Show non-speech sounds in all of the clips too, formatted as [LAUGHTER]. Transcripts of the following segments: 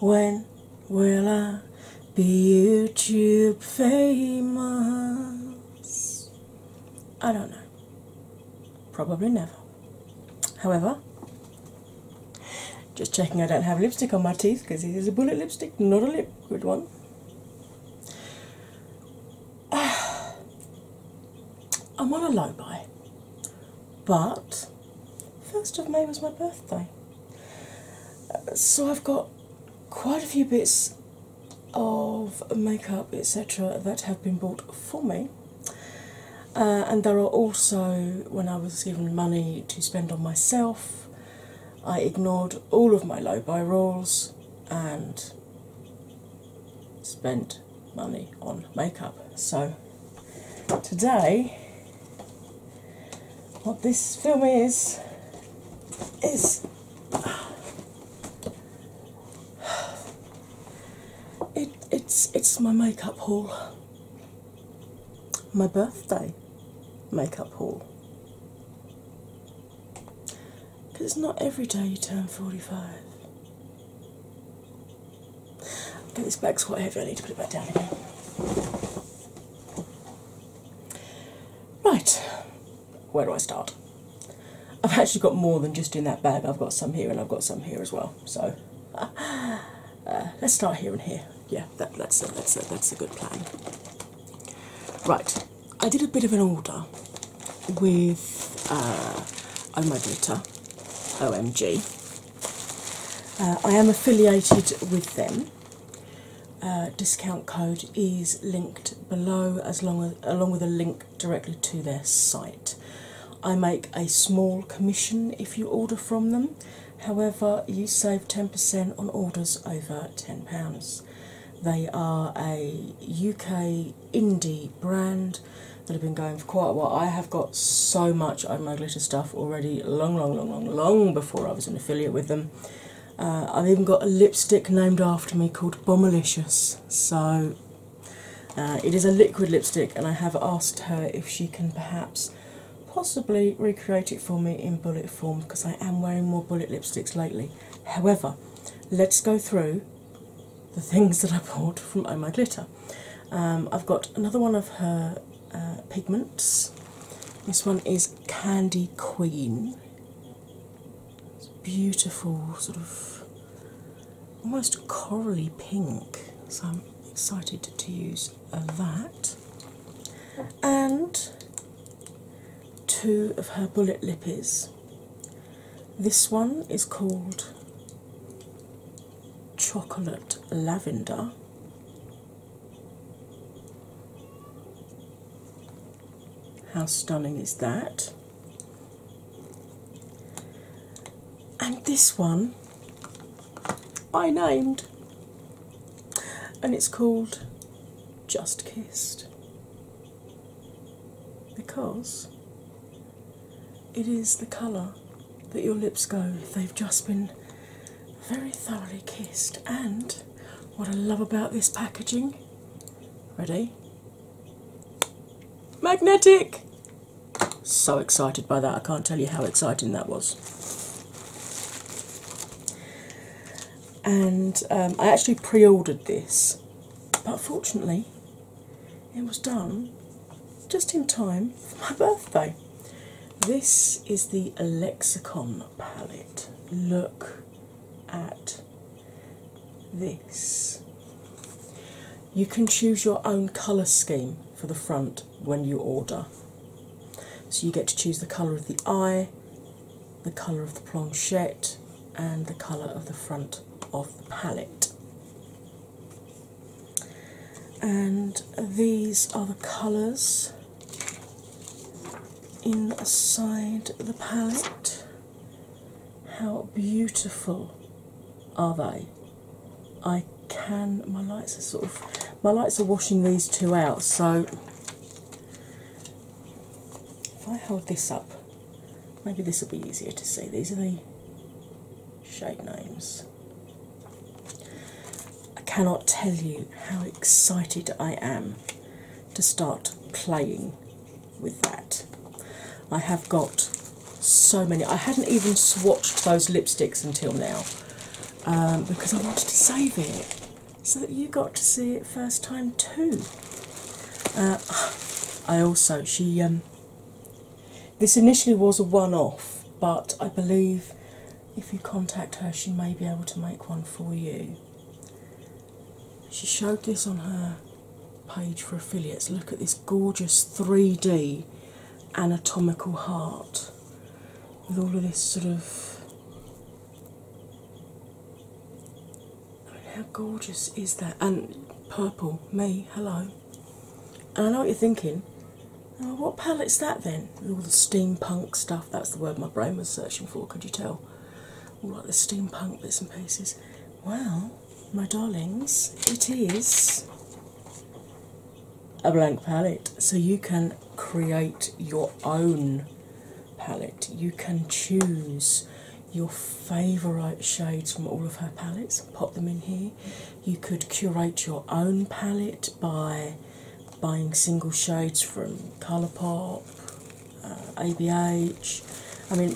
When will I be YouTube famous? I don't know. Probably never. However, just checking I don't have lipstick on my teeth because it is a bullet lipstick, not a liquid one. [SIGHS] I'm on a low buy, but 1st of May was my birthday. So I've got quite a few bits of makeup, etc., that have been bought for me. Uh, and there are also, when I was given money to spend on myself, I ignored all of my low buy rules and spent money on makeup. So today, what this film is, is [SIGHS] it's it's my makeup haul, my birthday makeup haul. Because it's not every day you turn 45. Get this bag's quite heavy, I need to put it back down again. Right, where do I start? I've actually got more than just in that bag, I've got some here and I've got some here as well. So [LAUGHS] uh, let's start here and here. Yeah, that's, a, that's, that's a good plan. Right, I did a bit of an order with uh, oh, My Glitter, OMG. Uh, I am affiliated with them. Uh, discount code is linked below, as long as, along with a link directly to their site. I make a small commission if you order from them. However, you save 10% on orders over £10. They are a UK indie brand that have been going for quite a while. I have got so much of my glitter stuff already long, long, long, long, long before I was an affiliate with them. Uh, I've even got a lipstick named after me called Bombalicious. So uh, it is a liquid lipstick, and I have asked her if she can perhaps possibly recreate it for me in bullet form because I am wearing more bullet lipsticks lately. However, let's go through the things [LAUGHS] that I bought from Oh My Glitter. Um, I've got another one of her uh, pigments. This one is Candy Queen. It's beautiful, sort of almost corally pink. So I'm excited to use uh, that. And two of her bullet lippies. This one is called Chocolate Lavender, how stunning is that? And this one I named, and it's called Just Kissed because it is the colour that your lips go. They've just been very thoroughly kissed, and what I love about this packaging ready? Magnetic! So excited by that, I can't tell you how exciting that was. And um, I actually pre ordered this, but fortunately, it was done just in time for my birthday. This is the Lexicon palette. Look at this. You can choose your own colour scheme for the front when you order. So you get to choose the colour of the eye, the colour of the planchette, and the colour of the front of the palette and these are the colours inside the palette. How beautiful are they? I can my lights are sort of my lights are washing these two out so if I hold this up maybe this will be easier to see. These are the shade names. I cannot tell you how excited I am to start playing with that. I have got so many. I hadn't even swatched those lipsticks until now um, because I wanted to save it so that you got to see it first time too. Uh, I also, she, um, this initially was a one off, but I believe if you contact her, she may be able to make one for you. She showed this on her page for affiliates. Look at this gorgeous 3D anatomical heart with all of this sort of. how gorgeous is that? And purple, me, hello. I know what you're thinking. Oh, what palette's that then? All the steampunk stuff. That's the word my brain was searching for. Could you tell? All the steampunk bits and pieces. Well, my darlings, it is a blank palette. So you can create your own palette. You can choose your favourite shades from all of her palettes, and pop them in here. You could curate your own palette by buying single shades from Colourpop, ABH. Uh, I mean,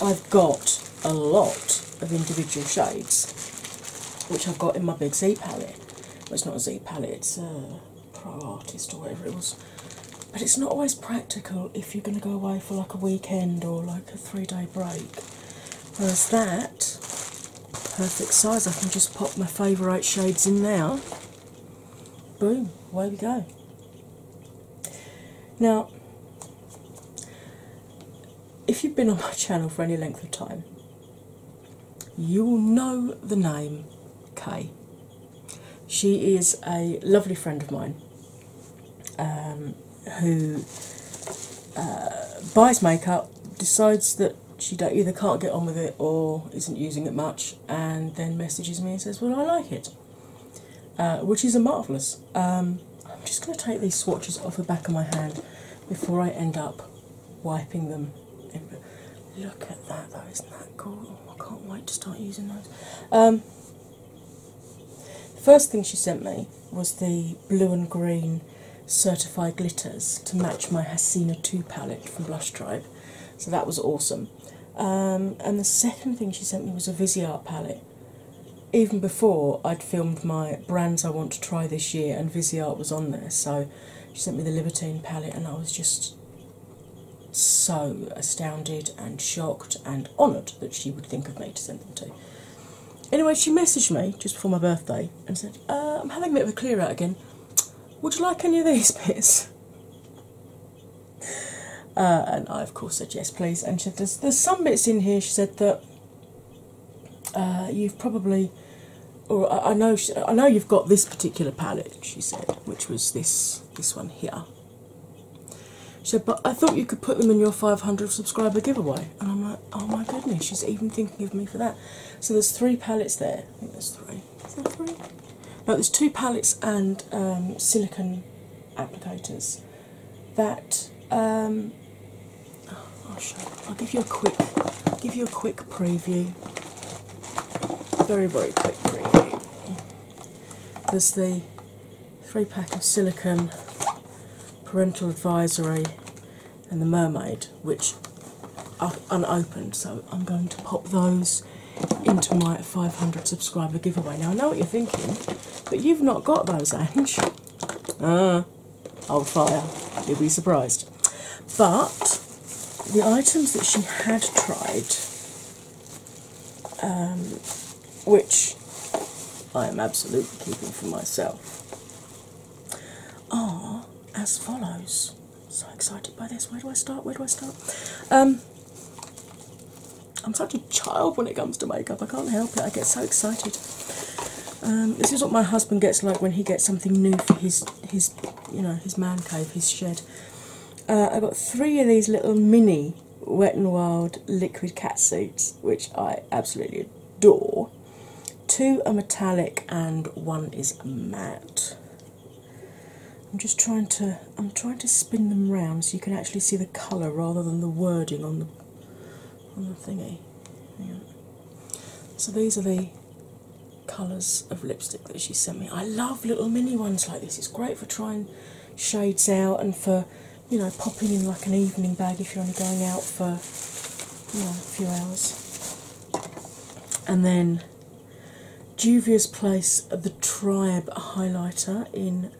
I've got a lot of individual shades which I've got in my big Z palette. it's not a Z palette, it's a Pro Artist or whatever it was. But it's not always practical if you're going to go away for like a weekend or like a three day break. Whereas that perfect size. I can just pop my favourite shades in now. Boom, away we go. Now, if you've been on my [LAUGHS] channel for any length of time, you will know the name Kay. She is a lovely friend of mine. Um, who uh, buys makeup, decides that she either can't get on with it or isn't using it much, and then messages me and says, Well, I like it, uh, which is a marvellous. Um, I'm just going to take these swatches off the back of my hand before I end up wiping them. Look at that, though, isn't that cool? I can't wait to start using those. Um, first thing she sent me was the blue and green certified glitters to match my Hasina 2 palette from Blush Tribe. So that was awesome. Um, and the second thing she sent me was a Viseart palette. Even before I'd filmed my brands I want to try this year, and Viseart was on there, so she sent me the Libertine palette, and I was just so astounded and shocked and honoured that she would think of me to send them to. Anyway, she messaged me just before my birthday and said, uh, I'm having a bit of a clear out again. Would you like any of these [LAUGHS] bits? Uh, and I, of course, said yes, please. And she said, There's, some bits in here, she said, that uh, you've probably, or I, know, I know you've got this particular palette, she said, which was this this one here. She said, but I thought you could put them in your 500 subscriber giveaway. And I'm like, oh my goodness, she's even thinking of me for that. So there's three palettes there. I think there's three. No, there's two palettes and um, silicone applicators. That um, oh, I'll show. I'll give you a quick, I'll give you a quick preview. Very very quick preview. There's the three pack of silicone parental advisory and the mermaid, which are unopened. So I'm going to pop those into my 500 subscriber giveaway. Now I know what you're thinking, but you've not got those, Ange. Ah, old oh, fire. You'll be surprised. But the items that she had tried, um, which I am absolutely keeping for myself, are as follows. So excited by this. Where do I start? Where do I start? Um, I'm such a child when it comes to makeup. I can't help it. I get so excited. Um, this is what my husband gets like when he gets something new for his his you know his man cave, his shed. Uh, I got three of these little mini Wet n Wild liquid cat suits, which I absolutely door. Two are metallic and one is matte. I'm just trying to I'm trying to spin them round so you can actually see the colour rather than the wording on the on the thingy. So these are the colours of lipstick that she sent me. I love little mini ones like this. It's great for trying shades out and for you know, popping in like an evening bag if you're only going out for you know, a few hours. And then Juvia's Place the Tribe highlighter in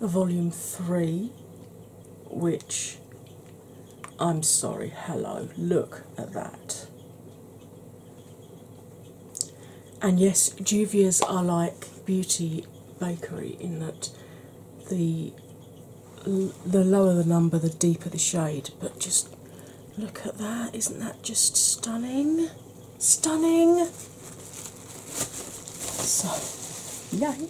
volume 3, which I'm sorry, hello, look at that. And yes, Juvia's are like Beauty Bakery in that the the lower the number, the deeper the shade. But just look at that, isn't that just stunning? Stunning! So, yay!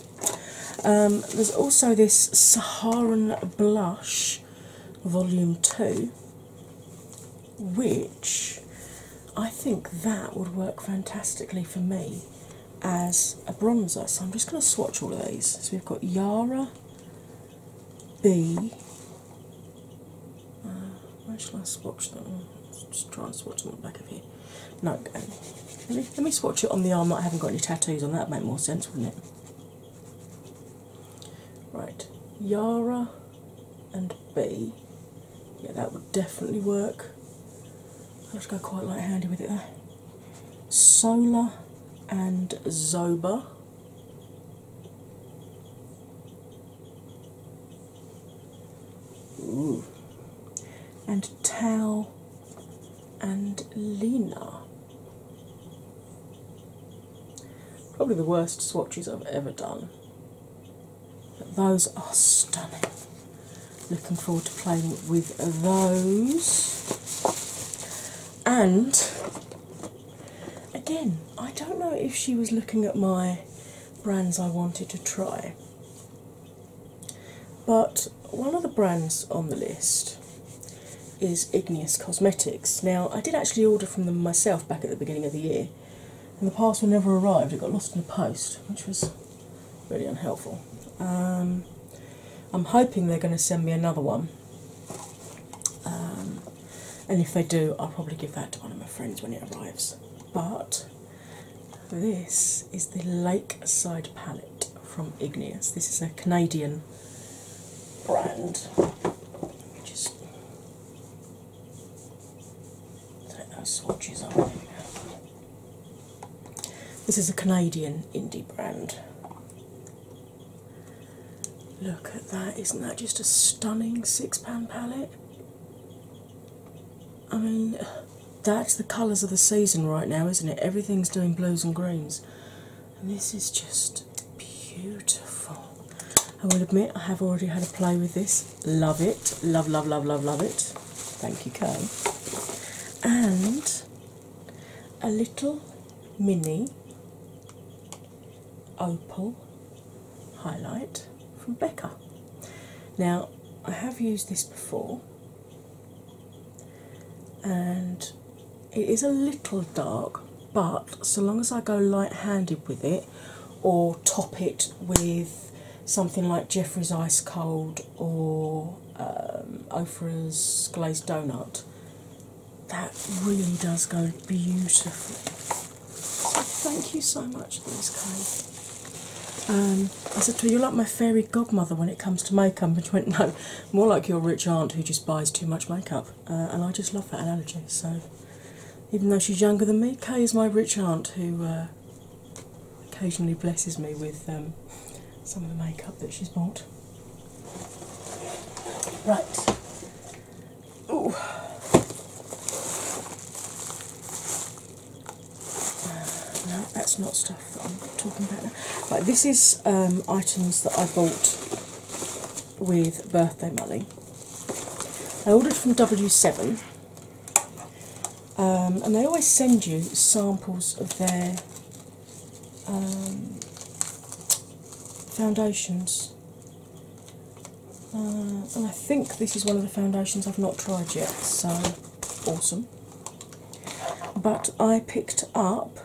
Um, there's also this Saharan Blush Volume 2, which I think that would work fantastically for me as a bronzer. So I'm just going to swatch all of these. So we've got Yara B. Uh, where shall I swatch them? just try and swatch them on the back of here. No, um, let, me, let me swatch it on the arm I haven't got any tattoos on. That would make more sense, wouldn't it? Right, Yara and B. Yeah, that would definitely work. I'll just go quite light-handed with it there. Solar and Zoba. And Tao and Lena. Probably the worst swatches I've ever done. But those are stunning. Looking forward to playing with those. And again, I don't know if she was looking at my brands I wanted to try, but one of the brands on the list is Igneous Cosmetics. Now, I did actually order from them myself back at the beginning of the year, and the parcel never arrived. It got lost in the post, which was really unhelpful. Um, I'm hoping they're going to send me another one, um, and if they do, I'll probably give that to one of my friends when it arrives. But this is the Lakeside palette from Igneous. This is a Canadian brand. Just take those swatches off. This is a Canadian indie brand. Look at that, isn't that just a stunning six pound palette? I mean, that's the colours of the season right now, isn't it? Everything's doing blues and greens. And this is just beautiful. I will admit I have already had a play with this. Love it. Love, love, love, love, love it. Thank you, Kay. And a little mini opal highlight from Becca. Now, I have used this before, and it is a little dark, but so long as I go light handed with it or top it with something like Jeffrey's Ice Cold or um, glazed donut, that really does go beautifully. thank you so much for this um, I said to her, You're like my fairy godmother when it comes to makeup. And she went, No, more like your rich aunt who just buys too much makeup. Uh, and I just love that analogy. So even though she's younger than me, Kay is my rich aunt who uh, occasionally blesses me with um, some of the makeup that she's bought. Right. Ooh. Uh, no, that's not stuff that I'm talking about But this is um, items that I bought with birthday money. I ordered from W7 um, and they always send you samples of their um, foundations. Uh, and I think this is one of the foundations I've not tried yet, so awesome. But I picked up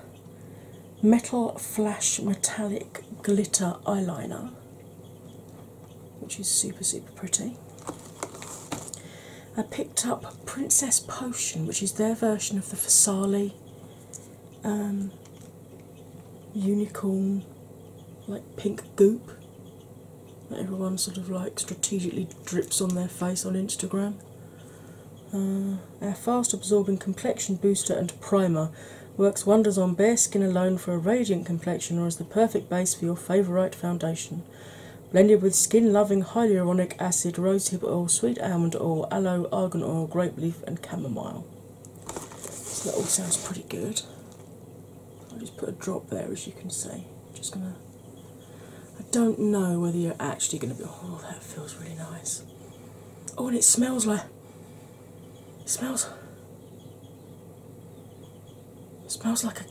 Metal Flash Metallic Glitter Eyeliner, which is super, super pretty. I picked up Princess Potion, which is their version of the Fasali um, unicorn, like pink goop that everyone sort of like strategically drips on their face on Instagram. our uh, fast absorbing complexion booster and primer works wonders on bare skin alone for a radiant complexion or as the perfect base for your favourite foundation blended with skin loving hyaluronic acid, rosehip oil, sweet almond oil, aloe, argan oil, grape leaf, and chamomile. that all sounds pretty good. I'll just put a drop there as you can see. Just gonna I don't know whether you're actually gonna be oh that feels really nice. Oh and it smells like smells smells like a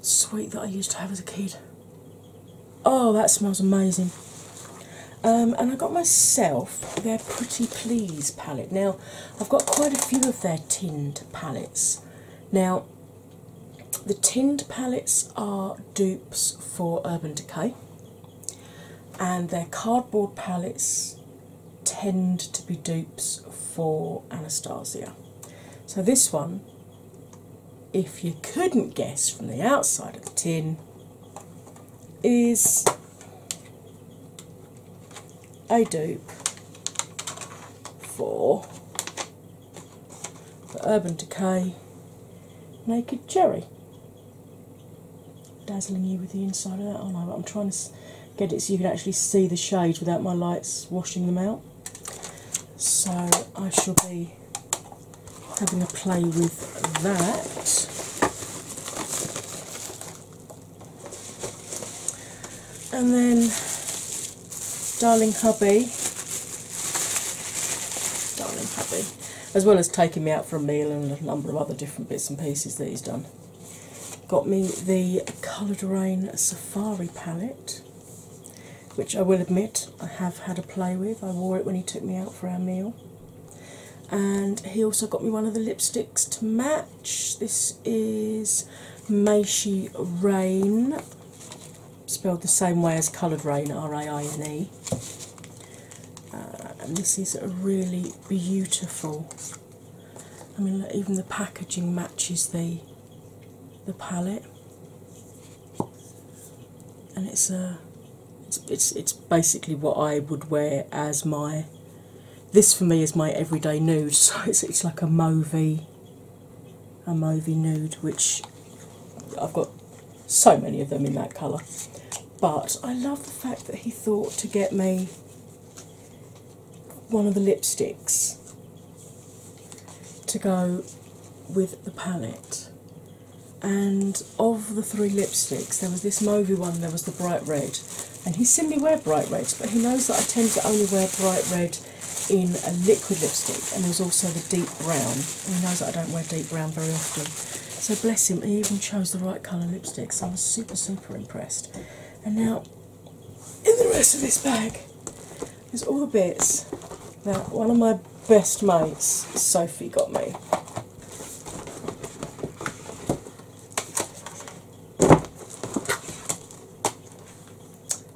sweet that I used to have as a kid. Oh, that smells amazing. Um, and I got myself their Pretty Please palette. Now, I've got quite a few of their tinned palettes. Now, the tinned palettes are dupes for Urban Decay, and their cardboard palettes tend to be dupes for Anastasia. So, this one if you couldn't guess from the outside of the tin, is a dupe for the Urban Decay Naked Cherry. Dazzling you with the inside of that, oh no, I'm trying to get it so you can actually see the shades without my lights washing them out. So I shall be having a play with that. And then, darling hubby, darling hubby, as well as taking me out for a meal and a number of other different bits and pieces that he's done, got me the Coloured Rain Safari palette which I will admit I have had a play with. I wore it when he took me out for our meal. And he also got me one of the lipsticks to match. This is Meishi Rain, spelled the same way as coloured rain, R A I N E. Uh, and this is a really beautiful. I mean, even the packaging matches the the palette, and it's a it's, it's basically what I would wear as my this for me is my everyday nude. [LAUGHS] So it's it's like a movie, a movie nude, which I've got so many of them in that colour. But I love the fact that he thought to get me one of the lipsticks to go with the palette. And of the three lipsticks, there was this Movi one, there was the bright red. And he simply wear bright red, but he knows that I tend to only wear bright red in a liquid lipstick. And there was also the deep brown. And he knows that I don't wear deep brown very often. So bless him, he even chose the right colour lipstick. So I was super, super impressed. And now in the rest of this bag is all the bits. Now, one of my best mates, Sophie, got me.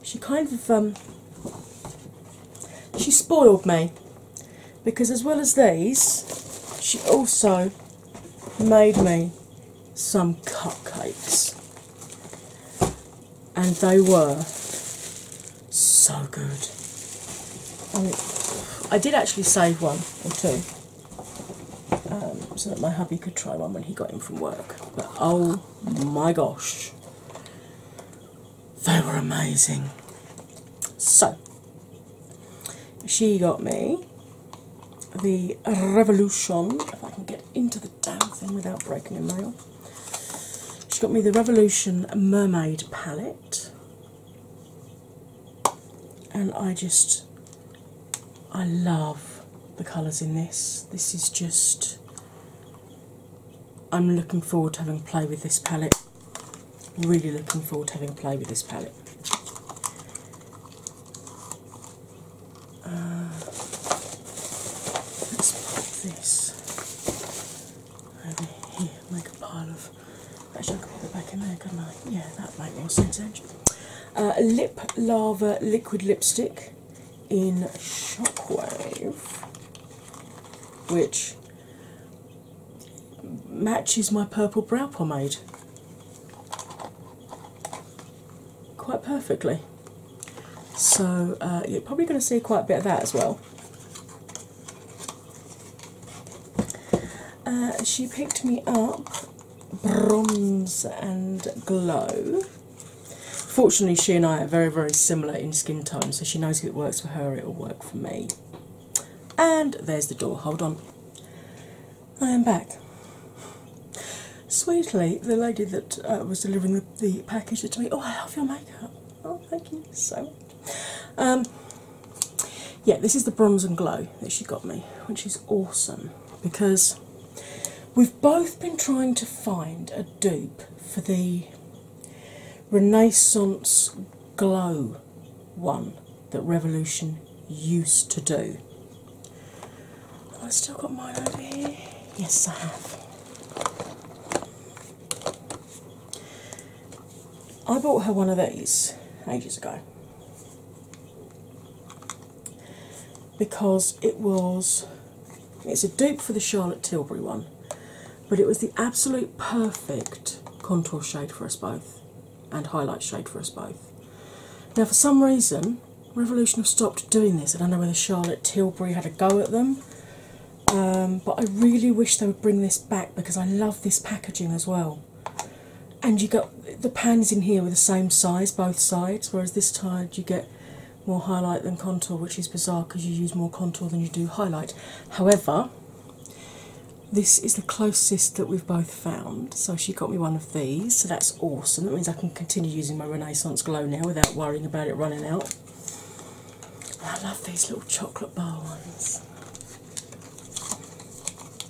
She kind of um, she spoiled me because as well as these, she also made me some cupcakes and they were so good. I, did actually save one or two um, so that my hubby could try one when he got in from work. But oh my gosh, they were amazing. So, she got me the Revolution. If I can get into the damn thing without breaking a nail. She got me the Revolution Mermaid palette, and I just I love the colours in this. This is just I'm looking forward to having play with this palette. Really looking forward to having play with this palette. Uh, let's put this over here, make a pile of. Actually, I could put it back in there, couldn't Yeah, that would more sense. Actually, uh, lip lava liquid lipstick in Shockwave, which matches my purple brow pomade quite perfectly. So uh, you're probably going to see quite a bit of that as well. Uh, she picked me up Bronze and Glow. Fortunately, she and I are very, very similar in skin tone, so she knows if it works for her, it will work for me. And there's the door, hold on. I am back. Sweetly, the lady that uh, was delivering the, package said to me, "Oh, I love your makeup. Oh, thank you so um, yeah, this is the bronze and glow that she got me, which is awesome because we've both been trying to find a dupe for the Renaissance glow one that Revolution used to do. Oh, I still got mine over here? Yes, I have. I bought her one of these ages ago because it was it's a dupe for the Charlotte Tilbury one, but it was the absolute perfect contour shade for us both and highlight shade for us both. Now, for some reason, Revolution have stopped doing this. I don't know whether Charlotte Tilbury had a go at them, um, but I really wish they would bring this back because I love this packaging as well. And you got the pans in here were the same size both sides, whereas this time you get more highlight than contour, which is bizarre because you use more contour than you do highlight. However, this is the closest that we've both found. So she got me one of these, so that's awesome. That means I can continue using my Renaissance Glow now without worrying about it running out. I love these little chocolate bar ones.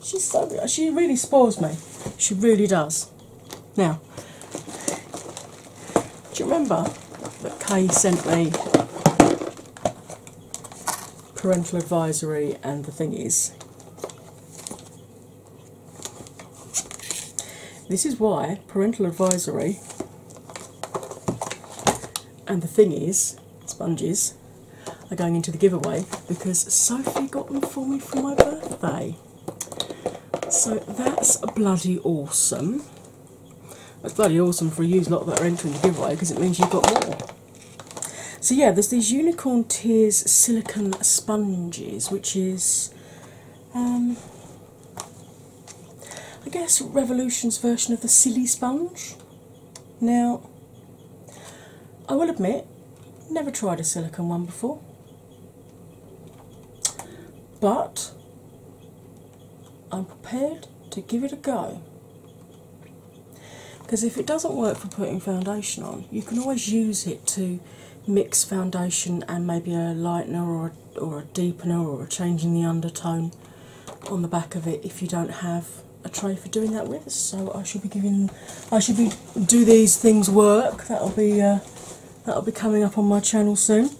She's so she really spoils me. She really does. Now, do you remember that Kay sent me parental advisory and the thing is this is why parental advisory and the thing is, sponges, are going into the giveaway because Sophie got them for me for my birthday. So that's bloody awesome. That's bloody awesome for a used lot that are entering the giveaway because it means you've got more. So yeah, there's these Unicorn Tears silicone sponge which is, um, I guess, Revolution's version of the silly sponge. Now, I will admit, never tried a silicone one before, but I'm prepared to give it a go. Because if it doesn't work for putting foundation on, you can always use it to mix foundation and maybe a lightener or a, or a deepener or a change in the undertone on the back of it if you don't have a tray for doing that with. So I should be giving, I should be do these things work. That'll be uh, that'll be coming up on my channel soon.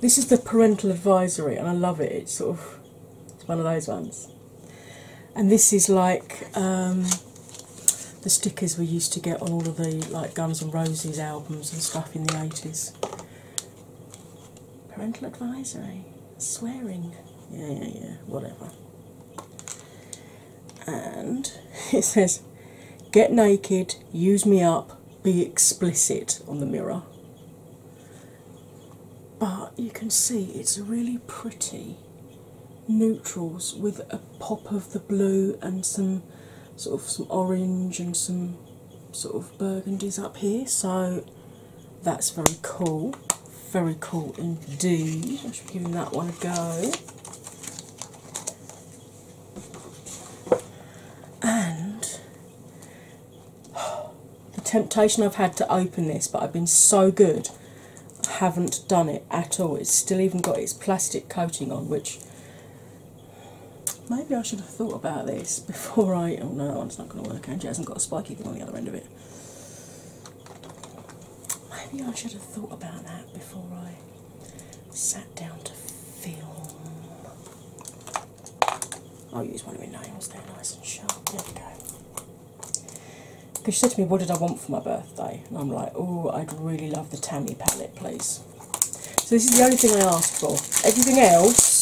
This is the parental advisory, and I love it. It's sort of it's one of those ones and this is like um, the stickers we used to get on all of the like Guns and Roses albums and stuff in the 80s. Parental advisory, swearing, yeah, yeah, yeah, whatever. And [LAUGHS] it says, Get naked, use me up, be explicit on the mirror. But you can see it's really pretty neutrals with a pop of the blue and some sort of some orange and some sort of burgundies up here. So that's very cool. Very cool indeed. I should be giving that one a go. And the temptation I've had to open this, but I've been so good haven't done it at all. It's still even got its plastic coating on, which maybe I should have thought about this before I. Oh no, it's not going to work. And Angie hasn't got a spike even on the other end of it. Maybe I should have thought about that before I sat down to film. I'll use one of my nails, they're nice and sharp. There we go. Because she said to me, What did I want for my birthday? And I'm like, Oh, I'd really love the Tammy palette, please. So, this is the only thing I asked for. Everything else.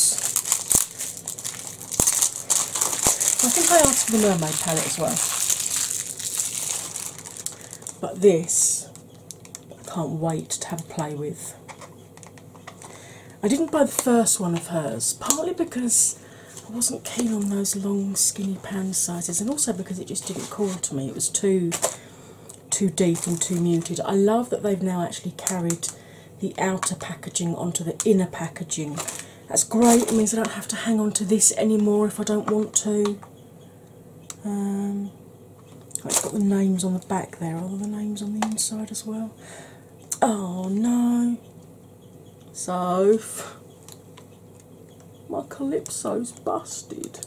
I think I asked for the mermaid palette as well. But this, I can't wait to have a play with. I didn't buy the first one of hers, partly because I wasn't keen on those long skinny pan sizes, and also because it just didn't call to me. It was too too deep and too muted. I love that they've now actually carried the outer packaging onto the inner packaging. That's great. It means I don't have to hang on to this anymore if I don't want to. Um, it's got the names on the back there. Are the names on the inside as well? Oh no. So my calypso's busted.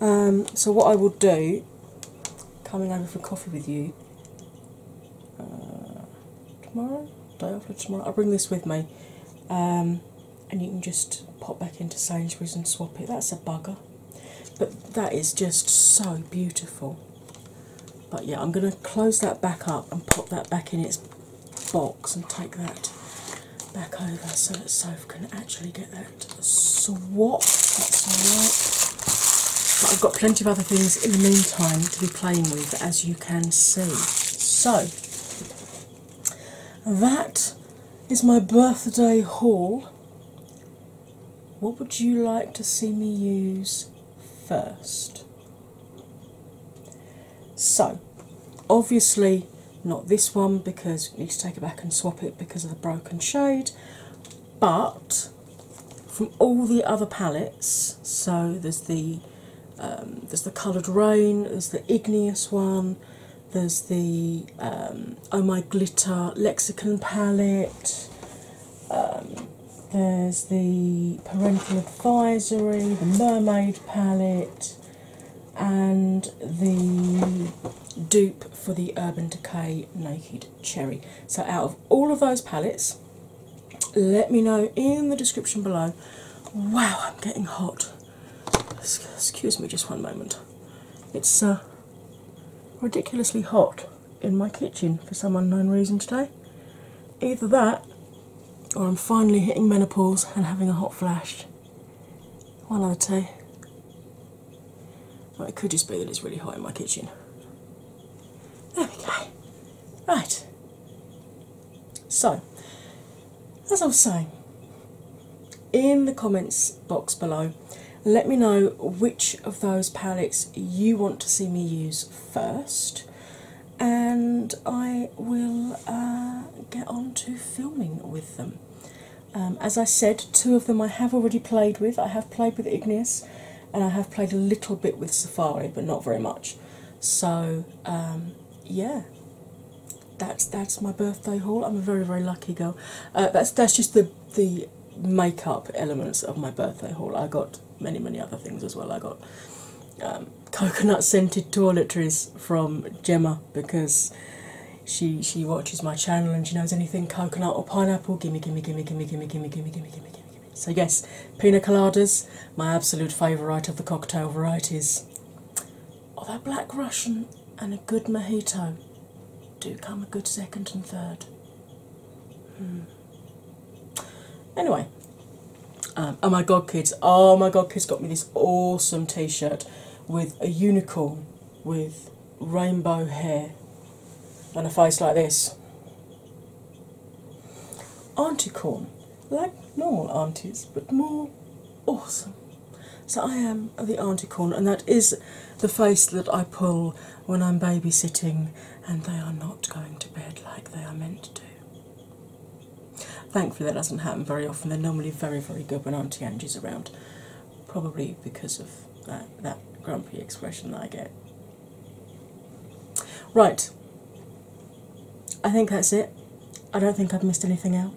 Um, so what I will do, coming over for coffee with you uh, tomorrow, day after tomorrow, I'll bring this with me, um, and you can just pop back into Sainsbury's and swap it. That's a bugger, but that is just so beautiful. But yeah, I'm going to close that back up and pop that back in its box and take that back over so that Soph can actually get that swap. But I've got plenty of other things in the meantime to be playing with, as you can see. So, that is my birthday haul. What would you like to see me use first? So, obviously, not this one because you need to take it back and swap it because of the broken shade, but from all the other palettes, so there's the um, there's the coloured rain, there's the igneous one, there's the um, oh my glitter lexicon palette, um, there's the Parental Advisory, the Mermaid palette, and the dupe for the Urban Decay Naked Cherry. So, out of all of those palettes, let me know in the description below. Wow, I'm getting hot. Excuse me just one moment. It's uh, ridiculously hot in my kitchen for some unknown reason today. Either that, or I'm finally hitting menopause and having a hot flash. One other two. Well, it could just be that it's really hot in my kitchen. There we go. Right. So, as I was saying, in the comments box below, let me know which of those palettes you want to see me use first and I will uh, get on to filming with them. Um, as I said, two of them I have already played with. I have played with Ignis, and I have played a little bit with Safari, but not very much. So, um, yeah. That's that's my birthday haul. I'm a very very lucky girl. Uh, that's that's just the the makeup elements of my birthday haul. I got many, many other things as well. I got coconut scented toiletries from Gemma because she she watches my channel and she knows anything coconut or pineapple. Gimme, gimme, gimme, gimme, gimme, gimme, gimme, gimme, gimme, gimme. So yes, pina coladas, my absolute favourite of the cocktail varieties. Although oh, Black Russian and a good mojito do come a good second and third. Anyway, um, oh my god, kids! Oh my god, kids got me this awesome T-shirt with a unicorn with rainbow hair and a face like this. Auntie corn, like normal aunties, but more awesome. So I am the auntie corn, and that is the face that I pull when I'm babysitting, and they are not going to bed like they are meant to. Thankfully, that doesn't happen very often. They're normally very, very good when Auntie Angie's around, probably because of that, that grumpy expression that I get. Right, I think that's it. I don't think I've missed anything out.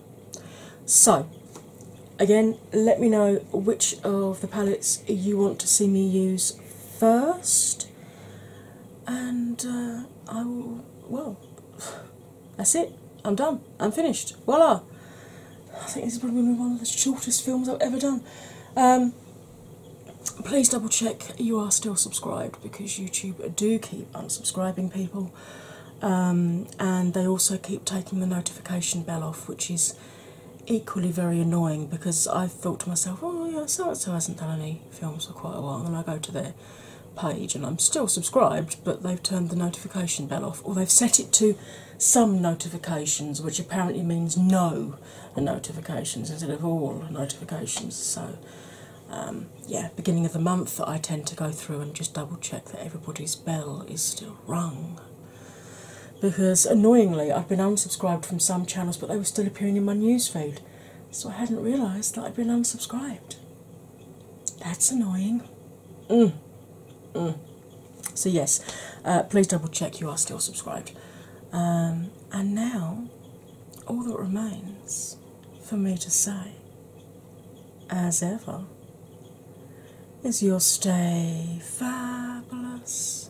So, again, let me know which of the palettes you want to see me use first and uh, I will, well, [SIGHS] that's it. I'm done. I'm finished. Voila! I think this is probably one of the shortest films I've ever done. Um, please double check you are still subscribed because YouTube do keep unsubscribing people um, and they also keep taking the notification bell off, which is equally very annoying because I thought to myself, oh yeah, so and hasn't done any films for quite a while, and I go to their page and I'm still subscribed, but they've turned the notification bell off, or they've set it to some notifications, which apparently means no notifications instead of all notifications. So, um, yeah, beginning of the month, I tend to go through and just double check that everybody's bell is still rung because annoyingly, I've been unsubscribed from some channels, but they were still appearing in my newsfeed, so I hadn't realised that I'd been unsubscribed. That's annoying. Mm. Mm. So, yes, uh, please double check you are still subscribed. Um, and now, all that remains for me to say, as ever, is your stay fabulous,